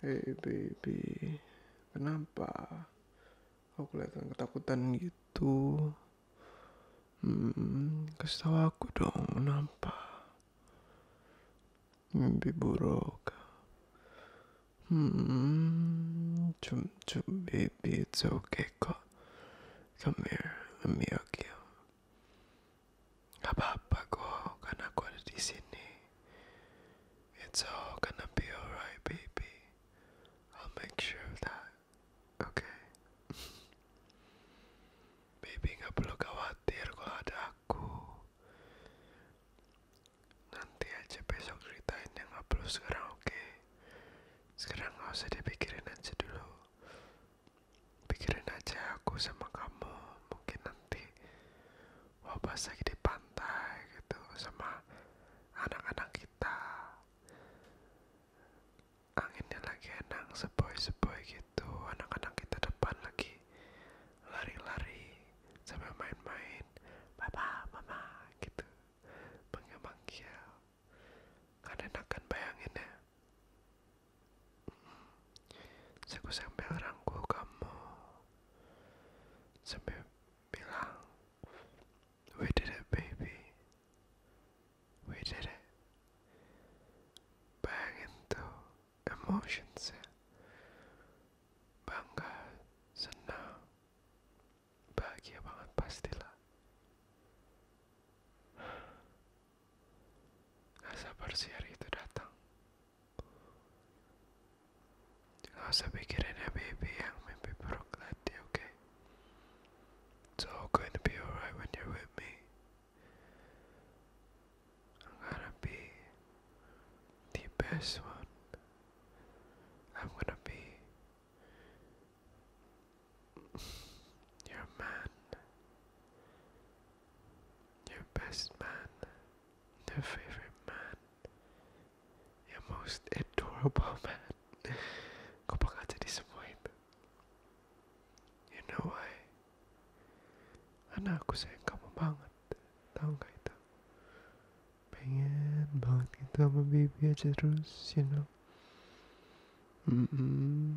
Hey baby, kenapa kau kelihatan ketakutan gitu? Hmm, kasih tahu aku dong, kenapa? Mimpi buruk. Hmm, cum cum baby, it's okay kok. Come here, let me hug you. Gak apa-apa kok, kan aku ada di sini. It's all gonna be alright, baby. I'll make sure of that. Okay. baby gak perlu khawatir kalau ada aku. Nanti aja besok ceritain yang gak perlu sekarang, oke? Sekarang gak usah dipikirin aja dulu. Pikirin aja aku sama kamu. Mungkin nanti Oh, bapak pas lagi di pantai gitu sama anak-anak kita anginnya lagi enak sepoi-sepoi gitu anak-anak kita depan lagi lari-lari sambil main-main papa mama gitu manggil manggil kan enak kan bayanginnya Terus aku sampai kamu sembilang. bilang we did it baby we did it bayangin tuh emotionsnya bangga senang bahagia banget pastilah gak sabar si hari itu datang Sabi ka rin na baby, ang may pipirok natin, okay? It's all going to be alright when you're with me. I'm gonna be the best one. I'm gonna be your man your best man, your favorite man, your most adorable man. Kau bakal jadi semua itu. You know why? Karena sayang kamu banget. Tahu gak itu? Pengen banget gitu sama baby terus, you know. -mm.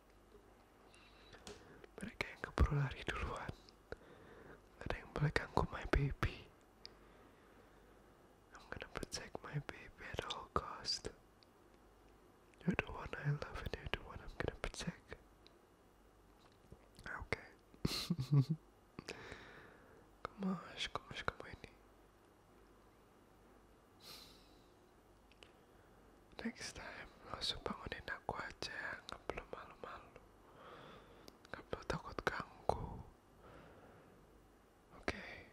mereka yang keburu lari duluan ada I'm gonna protect my baby at all costs. you're the one I love and you're the one I'm gonna protect okay Gosh, gosh, come on. Next time, langsung bangunin aku aja, nggak perlu malu-malu, nggak perlu takut ganggu. Okay,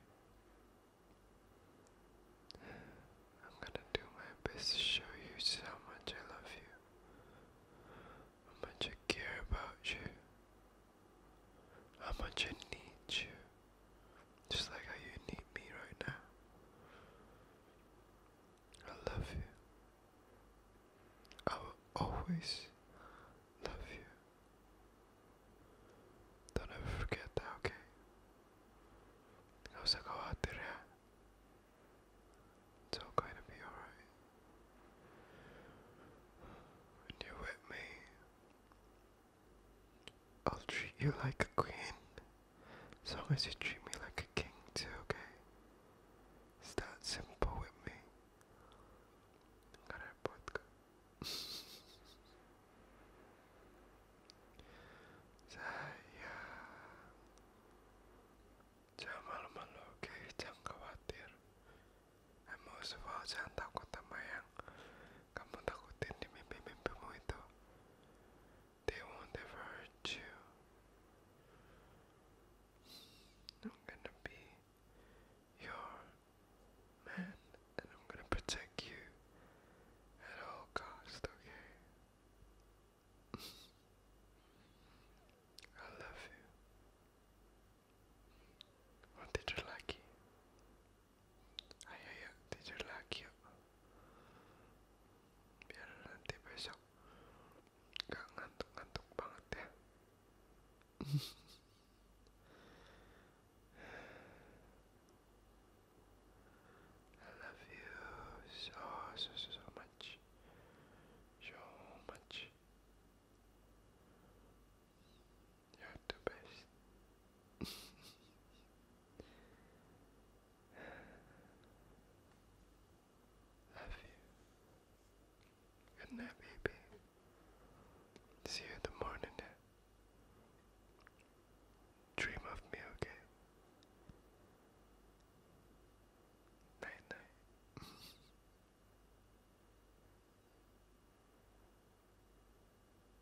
I'm gonna do my best to show you how much I love you, how much I care about you, how much I need you. Just like how you need me right now. I love you. I will always love you. Don't ever forget that, okay? It's all going to be alright. When you're with me, I'll treat you like a queen, as long as you treat me like a king too, okay? It's that simple with me. Saya Jangan malu jangan khawatir. Emosi, jangan takut sama yang kamu takutin di mimpi-mimpimu itu. They won't ever hurt you. I'm gonna be your man and I'm gonna protect you at all cost, okay? I love you. What did you like? Ayo yuk tidur lagi yuk Biar nanti besok Gak ngantuk-ngantuk banget ya I love you so so so, so much So much You're the best. Love you. Good baby. See you in the morning. Dream of me, okay? Night, night.